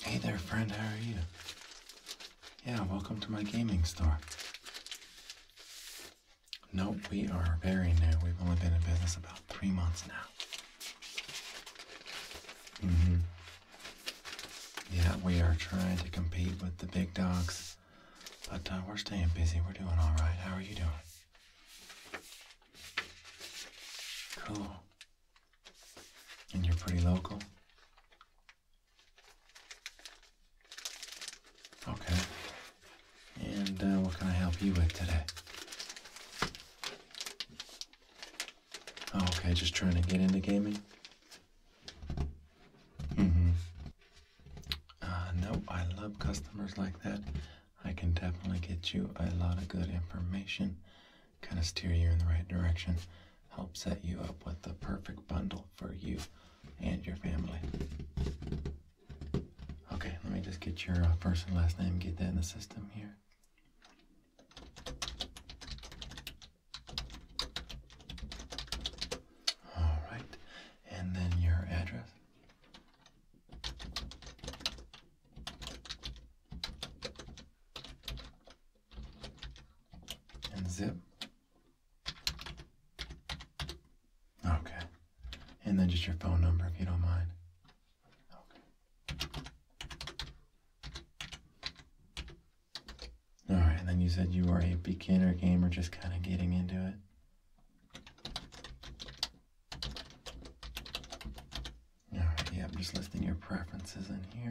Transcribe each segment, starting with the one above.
Hey there, friend, how are you? Yeah, welcome to my gaming store. Nope, we are very new. We've only been in business about three months now. hmm. Yeah, we are trying to compete with the big dogs, but uh, we're staying busy. We're doing all right. How are you doing? Cool. And you're pretty local? Okay. And uh, what can I help you with today? Oh, okay, just trying to get into gaming? Mm hmm. Uh, no, I love customers like that. I can definitely get you a lot of good information, kind of steer you in the right direction, help set you up with the perfect bundle for you and your family. Okay, let me just get your uh, first and last name, get that in the system here. All right, and then your address and zip. Okay. And then just your phone number if you don't mind. Okay. All right, and then you said you are a beginner gamer just kind of getting into it yeah, I'm just listing your preferences in here.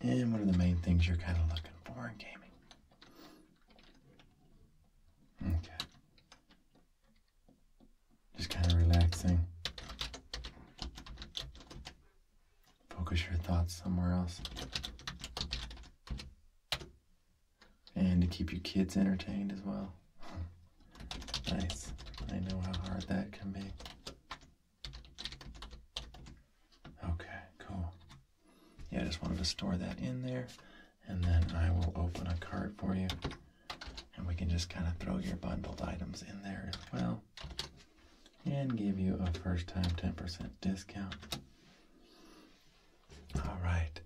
And what are the main things you're kind of looking for in gaming? Okay. Just kind of relaxing. Focus your thoughts somewhere else and to keep your kids entertained as well. nice. I know how hard that can be. Okay, cool. Yeah, I just wanted to store that in there, and then I will open a card for you, and we can just kind of throw your bundled items in there as well, and give you a first time 10% discount. All right,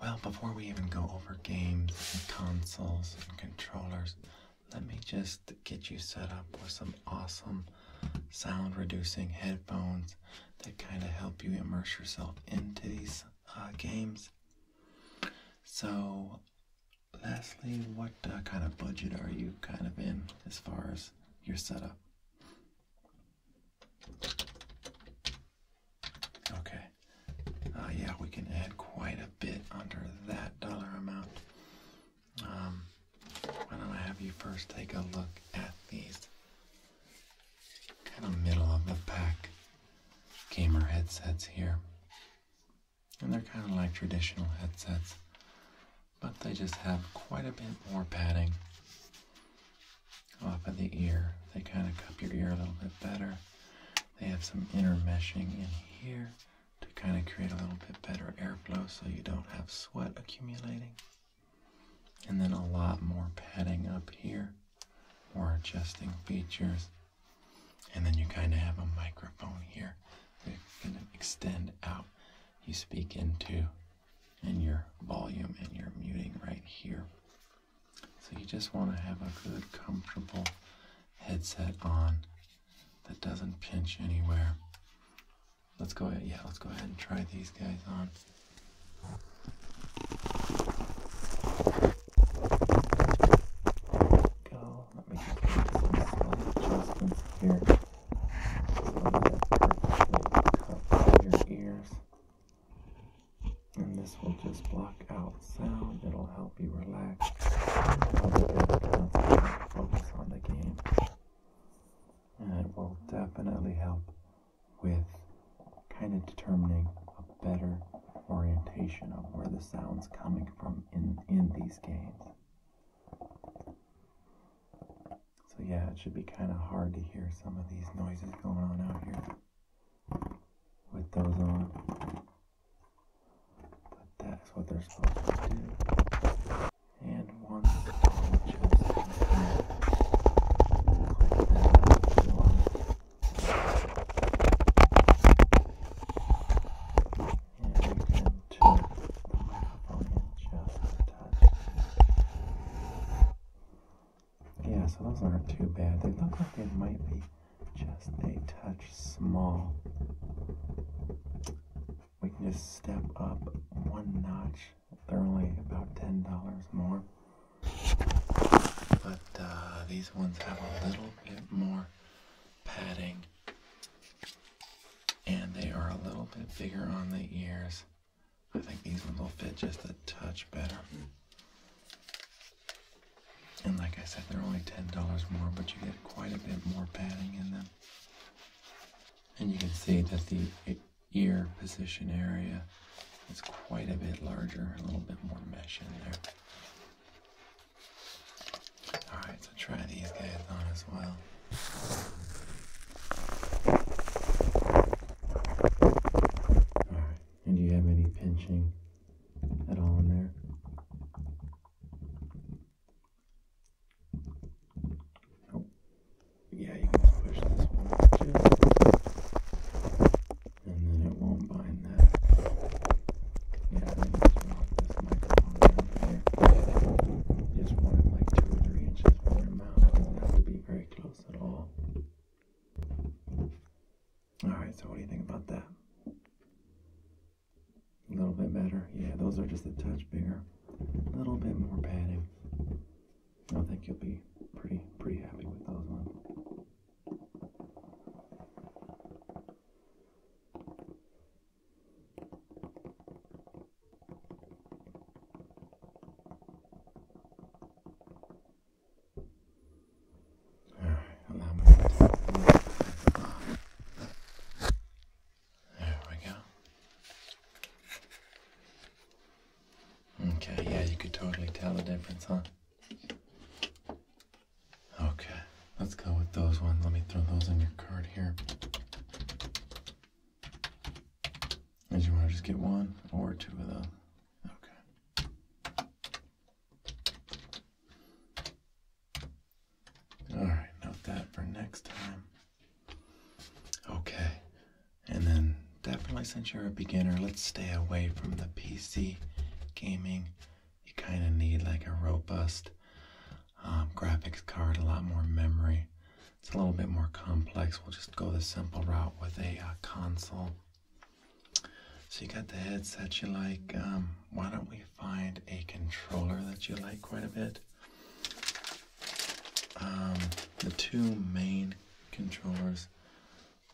well, before we even go over games and consoles and controllers, let me just get you set up with some awesome sound reducing headphones that kind of help you immerse yourself into these uh, games. So, lastly, what uh, kind of budget are you kind of in as far as your setup? Okay. Uh, yeah, we can add quite a bit under that dollar amount. Um, why don't I have you first take a look at these kind of middle of the pack gamer headsets here. And they're kind of like traditional headsets, but they just have quite a bit more padding off of the ear. They kind of cup your ear a little bit better. They have some intermeshing in here to kind of create a little bit better airflow so you don't have sweat accumulating. And then a lot more padding up here, more adjusting features. And then you kind of have a microphone here that can extend out. You speak into and your volume and your muting right here. So you just want to have a good, comfortable headset on that doesn't pinch anywhere. Let's go ahead, yeah, let's go ahead and try these guys on. Go. Let me some adjustments here. So that your ears. And this will just block out sound. It'll help you relax. Focus on the game. And it will definitely help with kind of determining a better orientation of where the sound's coming from in, in these games. So yeah, it should be kind of hard to hear some of these noises going on out here with those on. But that's what they're supposed to do. And once the just click that up if you want. And you can turn the microphone in just a touch. Yeah, so those aren't too bad. They look like they might be just a touch small. We can just step up one notch. They're only about $10 more. But uh, these ones have a little bit more padding. And they are a little bit bigger on the ears. I think these ones will fit just a touch better. And like I said, they're only $10 more, but you get quite a bit more padding in them. And you can see that the ear position area is quite a bit larger, a little bit more mesh in there. Alright, so try these guys on as well. Alright, and do you have any pinching? at all in there. Oh, yeah, you can push this one just, and then it won't bind that. Yeah, I just knock this microphone down here. just want it like two or three inches from your mouth. doesn't have to be very close at all. Alright, so what do you think about that? A little bit better. Yeah, those are just a touch bigger. A little bit more padding. I think you'll be pretty pretty happy with those ones. There we go. Okay, yeah, you could totally tell the difference, huh? Okay, let's go with those ones. Let me throw those on your card here. Did you want to just get one or two of them? Okay. All right, note that for next time. Okay, and then definitely since you're a beginner, let's stay away from the PC gaming. You kind of need like a robust um, graphics card, a lot more memory. It's a little bit more complex. We'll just go the simple route with a uh, console. So you got the headset you like. Um, why don't we find a controller that you like quite a bit? Um, the two main controllers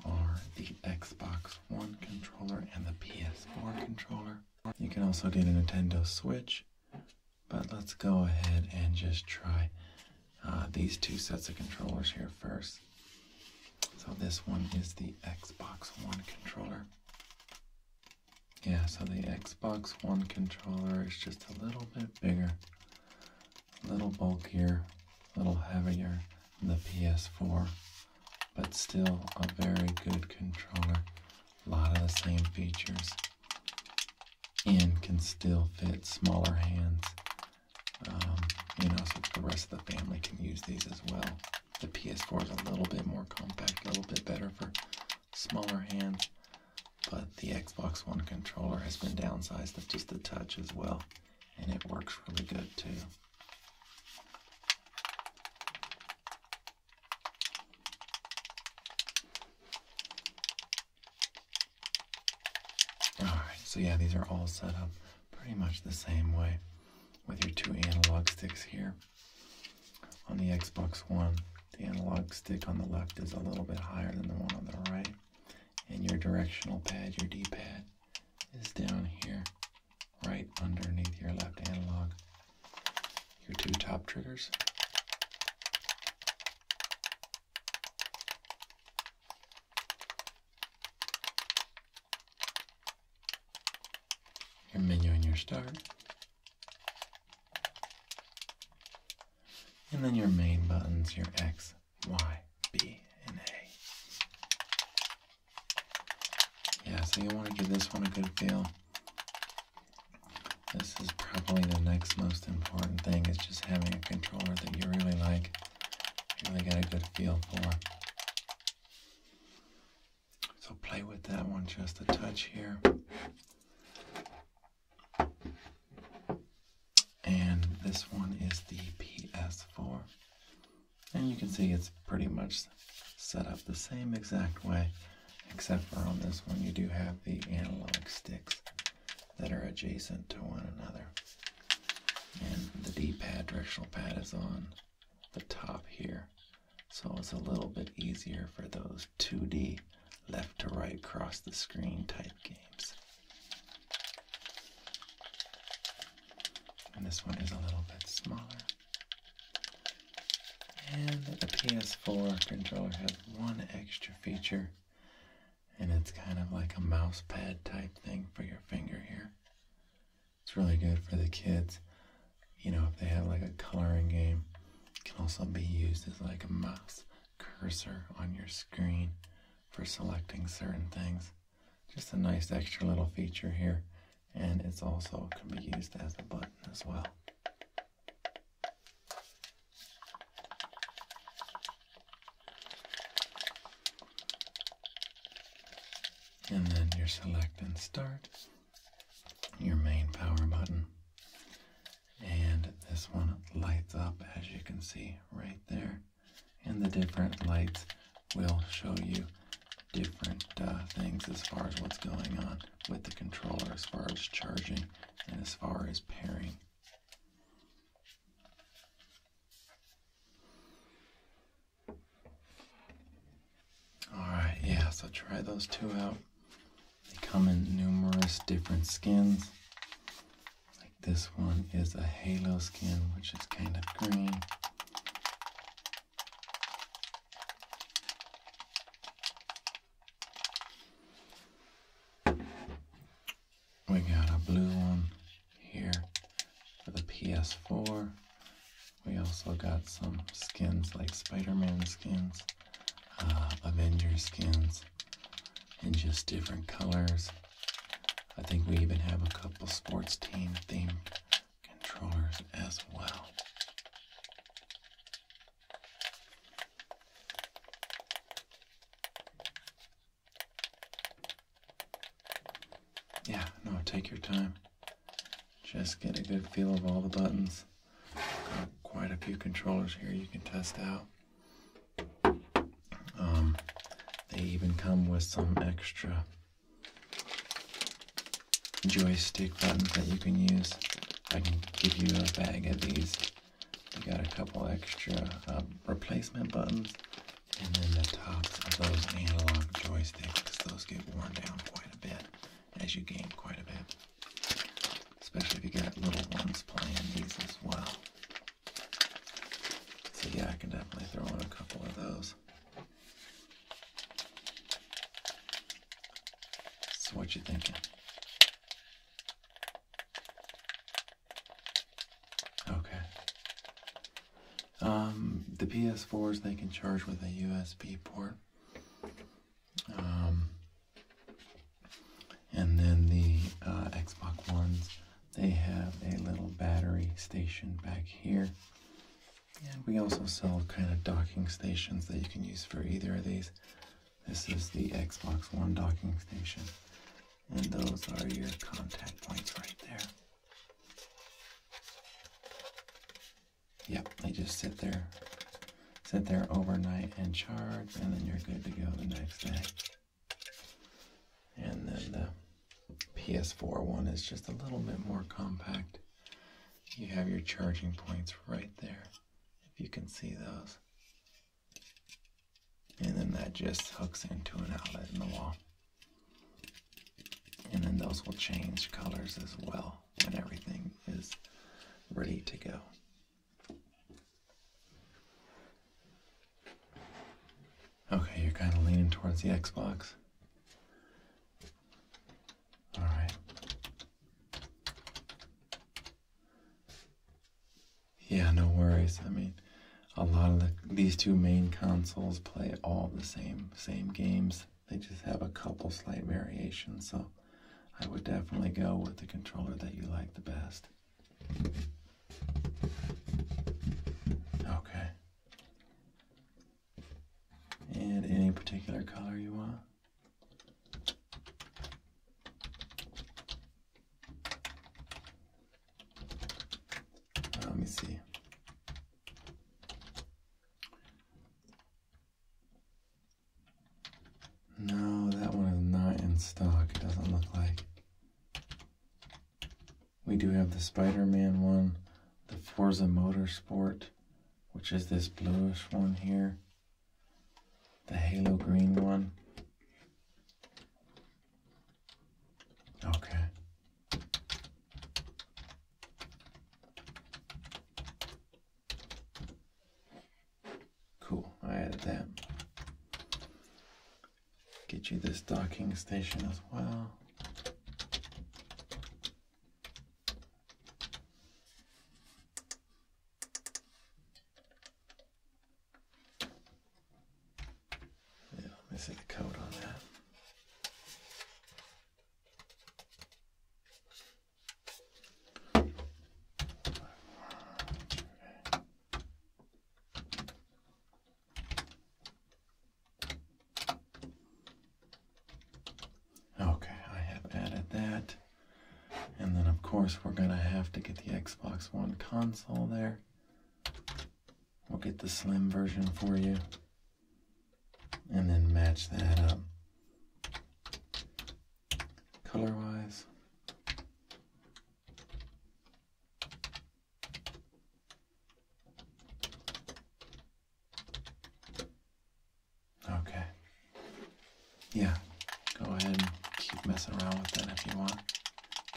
are the Xbox One controller and the PS4 controller. You can also get a Nintendo Switch, but let's go ahead and just try uh, these two sets of controllers here first. So this one is the Xbox One controller. Yeah, so the Xbox One controller is just a little bit bigger, a little bulkier, a little heavier than the PS4, but still a very good controller. A lot of the same features and can still fit smaller hands and um, also, the rest of the family can use these as well. The PS4 is a little bit more compact, a little bit better for smaller hands, but the Xbox One controller has been downsized to just a touch as well, and it works really good too. Alright, so yeah, these are all set up pretty much the same way with your two analog sticks here. On the Xbox One, the analog stick on the left is a little bit higher than the one on the right, and your directional pad, your D pad, is down here, right underneath your left analog. Your two top triggers your menu and your start. And then your main buttons, your X, Y, B, and A. Yeah, so you want to give this one a good feel. This is probably the next most important thing is just having a controller that you really like, you really get a good feel for. So play with that one just a touch here. And this one is the PS4. And you can see it's pretty much set up the same exact way, except for on this one you do have the analog sticks that are adjacent to one another. And the D-pad directional pad is on the top here. So it's a little bit easier for those 2D left to right cross the screen type games. And this one is a little bit smaller. And the PS4 controller has one extra feature, and it's kind of like a mouse pad type thing for your finger here. It's really good for the kids. You know, if they have like a coloring game, it can also be used as like a mouse cursor on your screen for selecting certain things. Just a nice extra little feature here. And it's also can be used as a button as well. And then your select and start, your main power button. And this one lights up as you can see right there. And the different lights will show you different uh, things as far as what's going on with the controller, as far as charging and as far as pairing. Alright, yeah, so try those two out. They come in numerous different skins. Like this one is a halo skin, which is kind of green. We got a blue one here for the PS4. We also got some skins like Spider-Man skins, uh, Avenger skins, and just different colors. I think we even have a couple sports team themed controllers as well. Yeah, no, take your time. Just get a good feel of all the buttons. Got quite a few controllers here you can test out. Um, they even come with some extra joystick buttons that you can use. I can give you a bag of these. You got a couple extra uh, replacement buttons and then the tops of those analog joysticks, those get worn down quite a bit as you game quite a bit. Especially if you got little ones playing these as well. So yeah, I can definitely throw in a couple of those. So what you thinking? Okay. Um, the PS4s they can charge with a USB port. Um, and then the uh, Xbox Ones, they have a little battery station back here. And we also sell kind of docking stations that you can use for either of these. This is the Xbox One docking station. And those are your contact points right there. Yep, they just sit there, sit there overnight and charge, and then you're good to go the next day. And then the PS4 one is just a little bit more compact. You have your charging points right there, if you can see those. And then that just hooks into an outlet in the wall. And then those will change colors as well when everything is ready to go. Okay, you're kind of leaning towards the Xbox. All right. Yeah, no worries. I mean, a lot of these two main consoles play all the same same games. They just have a couple slight variations, so I would definitely go with the controller that you like the best. Okay. And any particular color you want? let me see. No, that one is not in stock. It doesn't look like. We do have the Spider-Man one, the Forza Motorsport, which is this bluish one here, the Halo green one. Okay. Cool, I added that. Get you this docking station as well. Yeah, see the code on that. Okay, I have added that. And then, of course, we're going to have to get the Xbox One console there. We'll get the slim version for you and then match that up color wise. Okay. Yeah, go ahead and keep messing around with it if you want.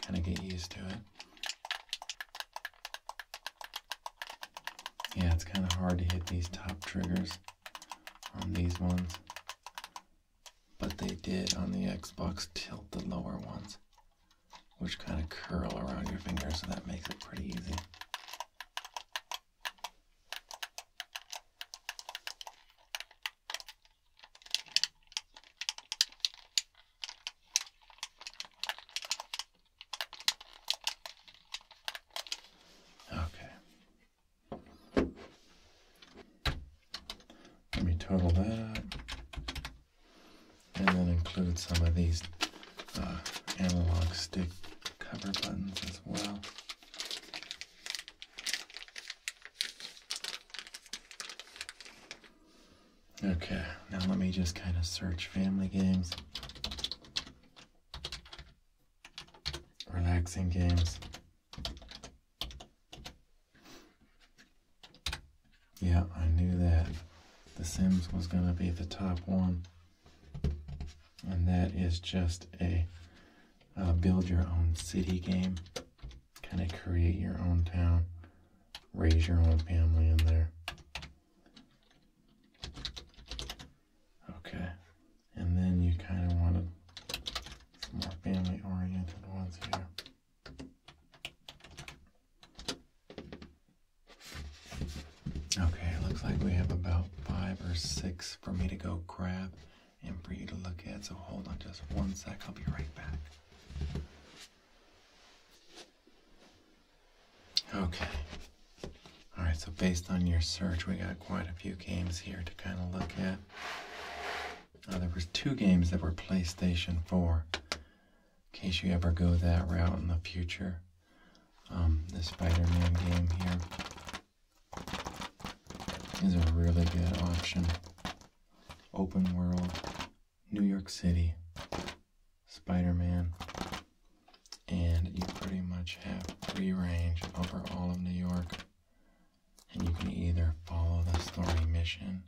Kind of get used to it. Yeah, it's kind of hard to hit these top triggers on these ones. But they did on the Xbox tilt the lower ones, which kind of curl around your finger, so that makes it pretty easy. Okay. Let me total that and then include some of these uh, analog stick cover buttons as well. Okay, now let me just kind of search family games, relaxing games. Yeah, I knew that The Sims was going to be the top one. And that is just a uh, build your own city game. Kind of create your own town, raise your own family in there. Okay, and then you kind of wanted some more family oriented ones here. Okay, looks like we have about five or six for me to go grab and for you to look at. So hold on just one sec, I'll be right back. Okay. Alright, so based on your search, we got quite a few games here to kind of look at. Uh, there was two games that were PlayStation 4. In case you ever go that route in the future. Um, the Spider-Man game here is a really good option. Open world, New York City. Spider Man, and you pretty much have free range over all of New York. And you can either follow the story mission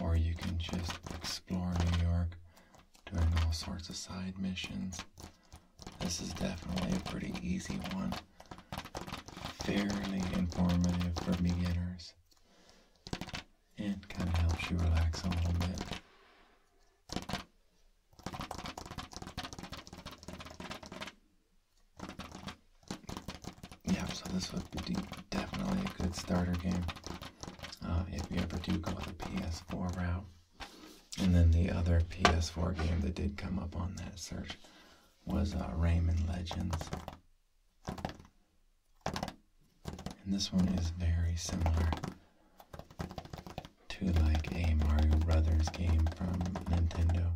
or you can just explore New York doing all sorts of side missions. This is definitely a pretty easy one, fairly informative for beginners, and kind of helps you relax a little bit. Yeah, so this would be definitely a good starter game uh, if you ever do go the PS4 route. And then the other PS4 game that did come up on that search was uh, Rayman Legends. And this one is very similar to like a Mario Brothers game from Nintendo.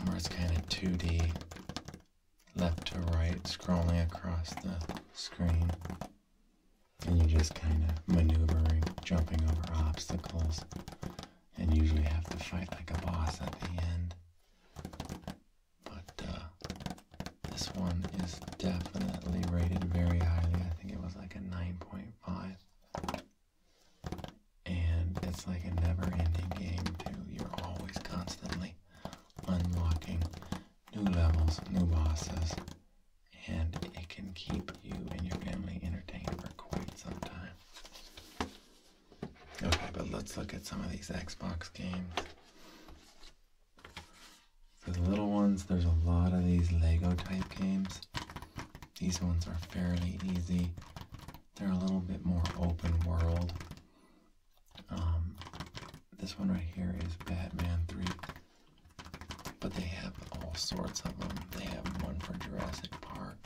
Where it's kind of 2D, left to right, scrolling across the screen. And you're just kind of maneuvering, jumping over obstacles, and usually have to fight like a boss at the end but uh, this one is definitely rated very highly. I think it was like a 9.5, and it's like a never-ending game too. You're always constantly unlocking new levels, new bosses, and it can keep you and your family entertained for quite some time. Okay, but let's look at some of these Xbox games. For the little ones, there's a lot of these Lego type games. These ones are fairly easy. They're a little bit more open world. Um, this one right here is Batman 3. But they have all sorts of them. They have one for Jurassic Park,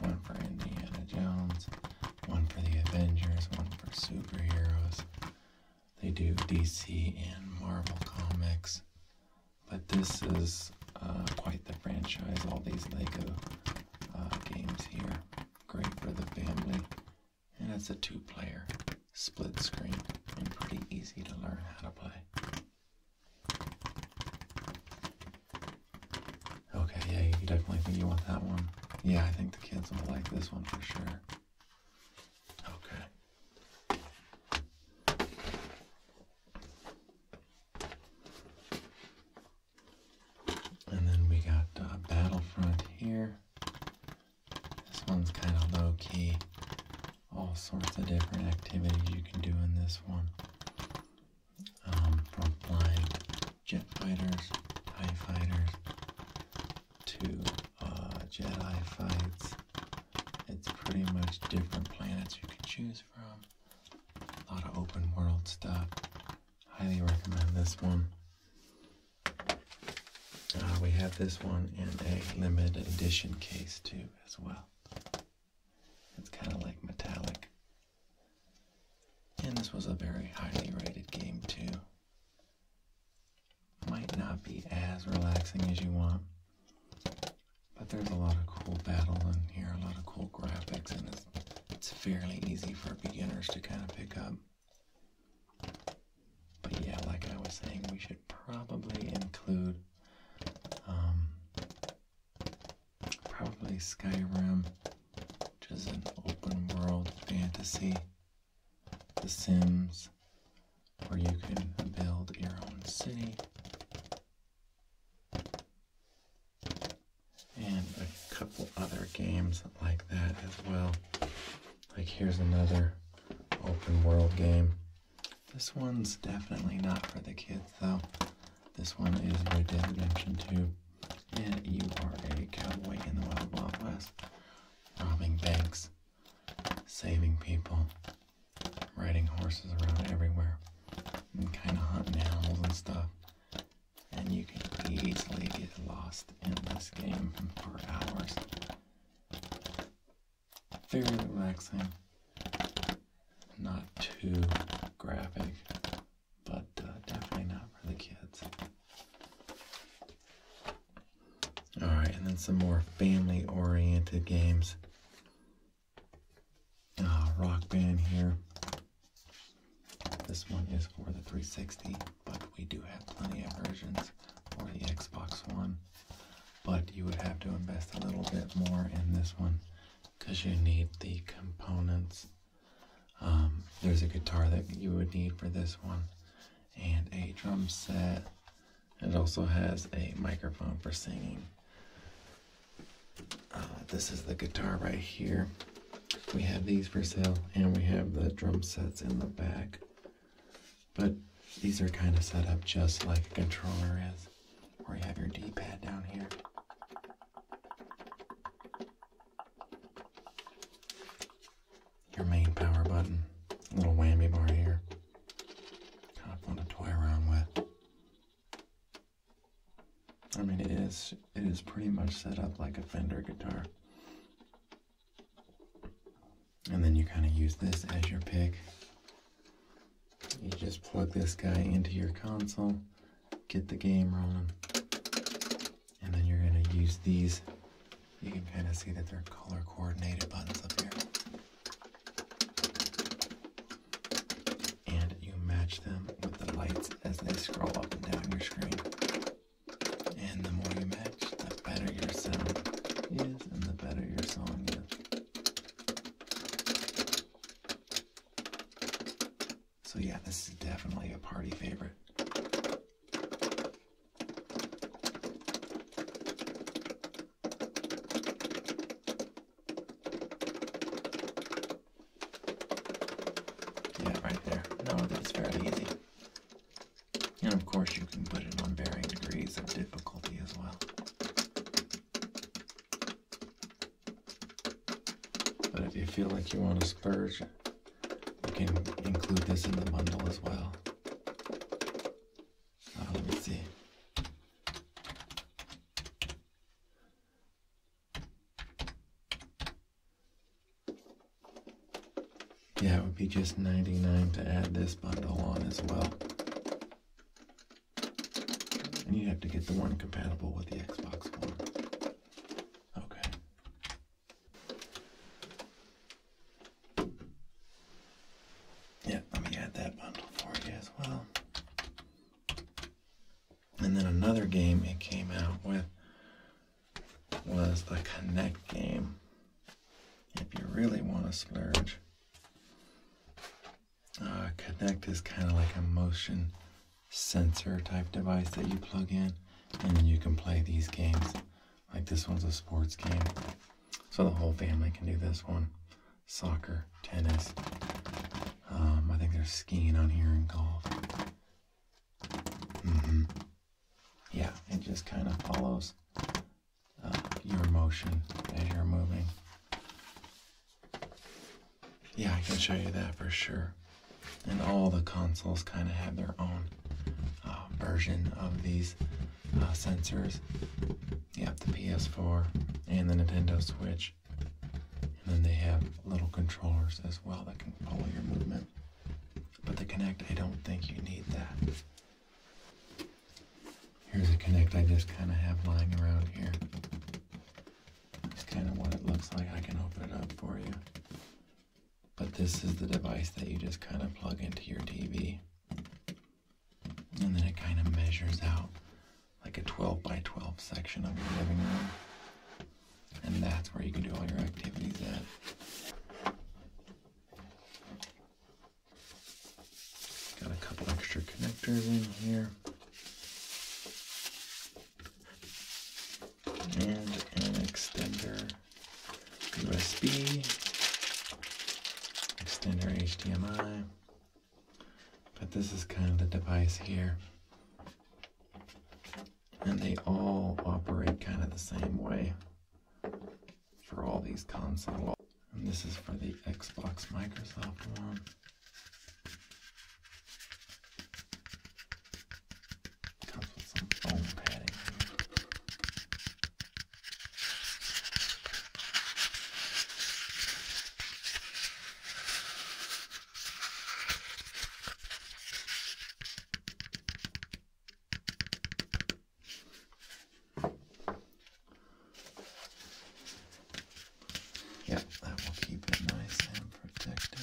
one for Indiana Jones, one for the Avengers, one for superheroes. They do DC and Marvel comics, but this is uh, quite the franchise. All these Lego uh, games here, great for the family, and it's a two-player split screen and pretty easy to learn how to play. Okay, yeah, you definitely think you want that one. Yeah, I think the kids will like this one for sure. Okay. And then we got uh, Battlefront here. This one's kind of low key. All sorts of different activities you can do in this one. Um, from flying jet fighters, TIE Two uh, Jedi fights. It's pretty much different planets you can choose from. A lot of open world stuff. Highly recommend this one. Uh, we have this one in a limited edition case too, as well. It's kind of like metallic. And this was a very highly rated game too. Might not be as relaxing as you want, but there's a lot of cool battle in here, a lot of cool graphics, and it's, fairly easy for beginners to kind of pick up. But yeah, like I was saying, we should probably include um, probably Skyrim, which is an open world fantasy the Sims, where you can build your own city. And a couple other games like that as well. Like here's another open world game. This one's definitely not for the kids though. This one is Red Dead Redemption 2. And you are a cowboy in the Wild West, robbing banks saving people, riding horses around everywhere, and kind of hunting animals and stuff. And you can easily get lost in this game for hours. Very relaxing, not too graphic, but uh, definitely not for the kids. All right, and then some more family oriented games. Ah, rock band here. This one is for the 360, but we do have plenty of versions for the Xbox One. But you would have to invest a little bit more in this one because you need the components. Um, there's a guitar that you would need for this one, and a drum set. It also has a microphone for singing. Uh, this is the guitar right here. We have these for sale, and we have the drum sets in the back. But these are kind of set up just like a controller is, where you have your D-pad down here your main power button, little whammy bar here. Kind of fun to toy around with. I mean, it is it is pretty much set up like a Fender guitar. And then you kind of use this as your pick. You just plug this guy into your console, get the game rolling, and then you're going to use these you can kind of see that they're color coordinated buttons up here. And you match them with the lights as they scroll up and down your screen. And the more you match, the better your sound is and the better your song is. So yeah, this is definitely a party favorite. Yeah, right there. No, that's fairly easy. And of course, you can put it on varying degrees of difficulty as well. But if you feel like you want to splurge, you can include this in the bundle as well. Ah, let me see. Yeah, it would be just 99 to add this bundle on as well. And you'd have to get the one compatible with the Xbox One. Okay. Yep, let me add that bundle for you as well. And then another game it came out with was the Connect game. If you really want to splurge, Connect uh, is kind of like a motion sensor type device that you plug in, and then you can play these games like this one's a sports game. So the whole family can do this one. Soccer, tennis. Um, I think there's skiing on here and golf. Mm-hmm. Yeah, it just kind of follows uh, your motion as you're moving. Yeah, I can show you that for sure. And all the consoles kind of have their own uh, version of these uh, sensors. Yep, the PS4 and the Nintendo Switch. And then they have little controllers as well that can follow your movement. But the Connect, I don't think you need that. Here's a Connect. I just kind of have lying around here. It's kind of what it looks like. I can open it up for you. But this is the device that you just kind of plug into your TV. And then it kind of measures out like a 12 by 12 section of your living room. And that's where you can do all your activities at. Got a couple extra connectors in here. And an extender USB, extender HDMI, but this is kind of the device here. And they all operate kind of the same way for all these consoles. And this is for the Xbox Microsoft one. Comes with some foam padding. Yep, that will keep it nice and protected.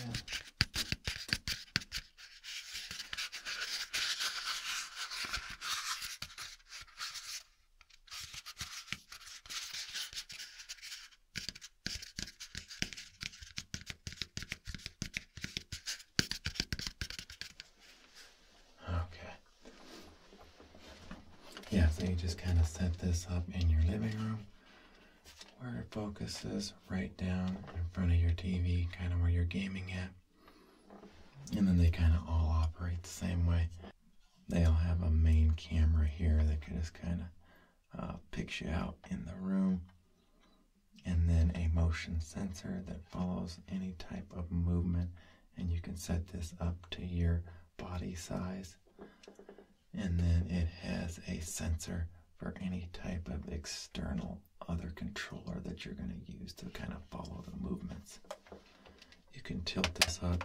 Okay. Yeah, so you just kind of set this up in your living room where it focuses right down in front of your TV, kind of where you're gaming at. And then they kind of all operate the same way. They'll have a main camera here that can just kind of uh, picks you out in the room. And then a motion sensor that follows any type of movement. And you can set this up to your body size. And then it has a sensor for any type of external other controller that you're going to use to kind of follow the movements. You can tilt this up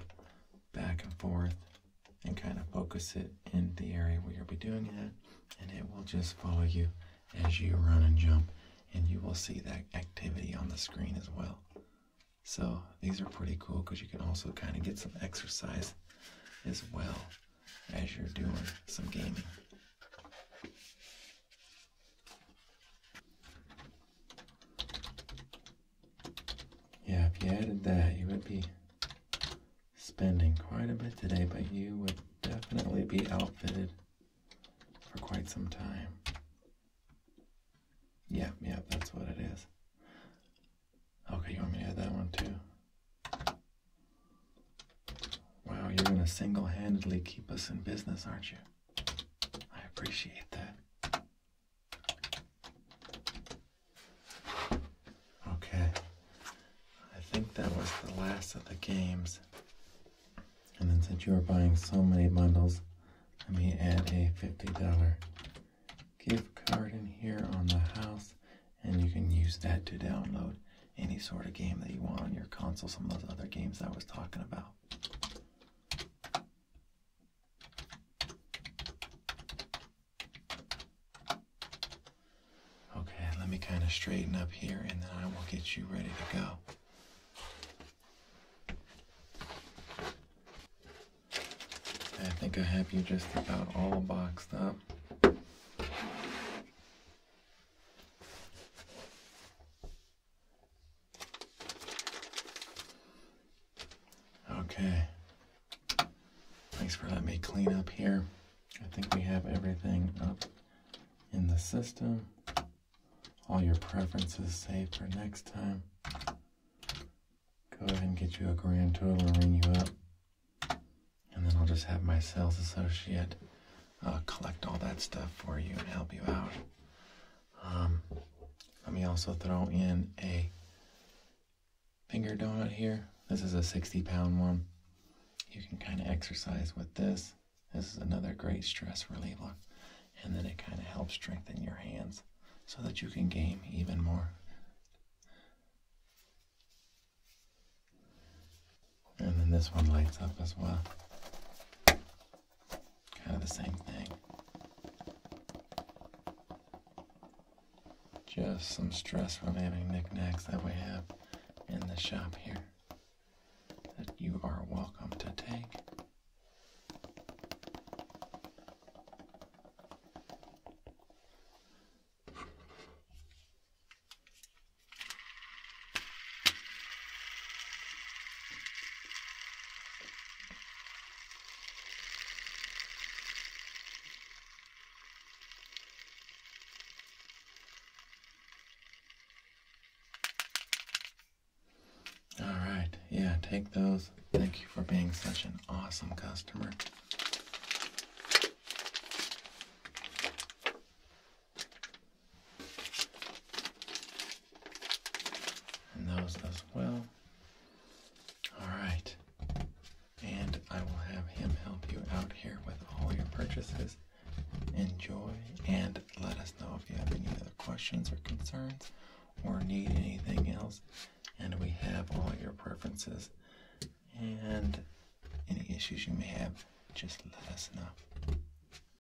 back and forth and kind of focus it in the area where you'll be doing it, and it will just follow you as you run and jump, and you will see that activity on the screen as well. So, these are pretty cool because you can also kind of get some exercise as well as you're doing some gaming. Yeah, if you added that, you would be spending quite a bit today, but you would definitely be outfitted for quite some time. Yeah, yeah, that's what it is. Okay, you want me to add that one too? Wow, you're gonna single handedly keep us in business, aren't you? I appreciate that. Okay, I think that was the last of the games. And then since you are buying so many bundles, let me add a $50 gift card in here on the house. And you can use that to download any sort of game that you want on your console, some of those other games I was talking about. Okay, let me kind of straighten up here and then I will get you ready to go. I think I have you just about all boxed up. Okay. Thanks for letting me clean up here. I think we have everything up in the system. All your preferences saved for next time. Go ahead and get you a grand total and ring you up. And then I'll just have my sales associate uh, collect all that stuff for you and help you out. Um, let me also throw in a finger donut here. This is a 60 pound one. You can kind of exercise with this. This is another great stress reliever. And then it kind of helps strengthen your hands so that you can game even more. And then this one lights up as well. Kind of the same thing. Just some stress relieving knickknacks that we have in the shop here that you are welcome to take. All right, yeah, take those. Thank you for being such an awesome customer. And those as well. All right. And I will have him help you out here with all your purchases. Enjoy and let us know if you have any other questions or concerns or need anything else. And we have all your preferences and any issues you may have, just let us know.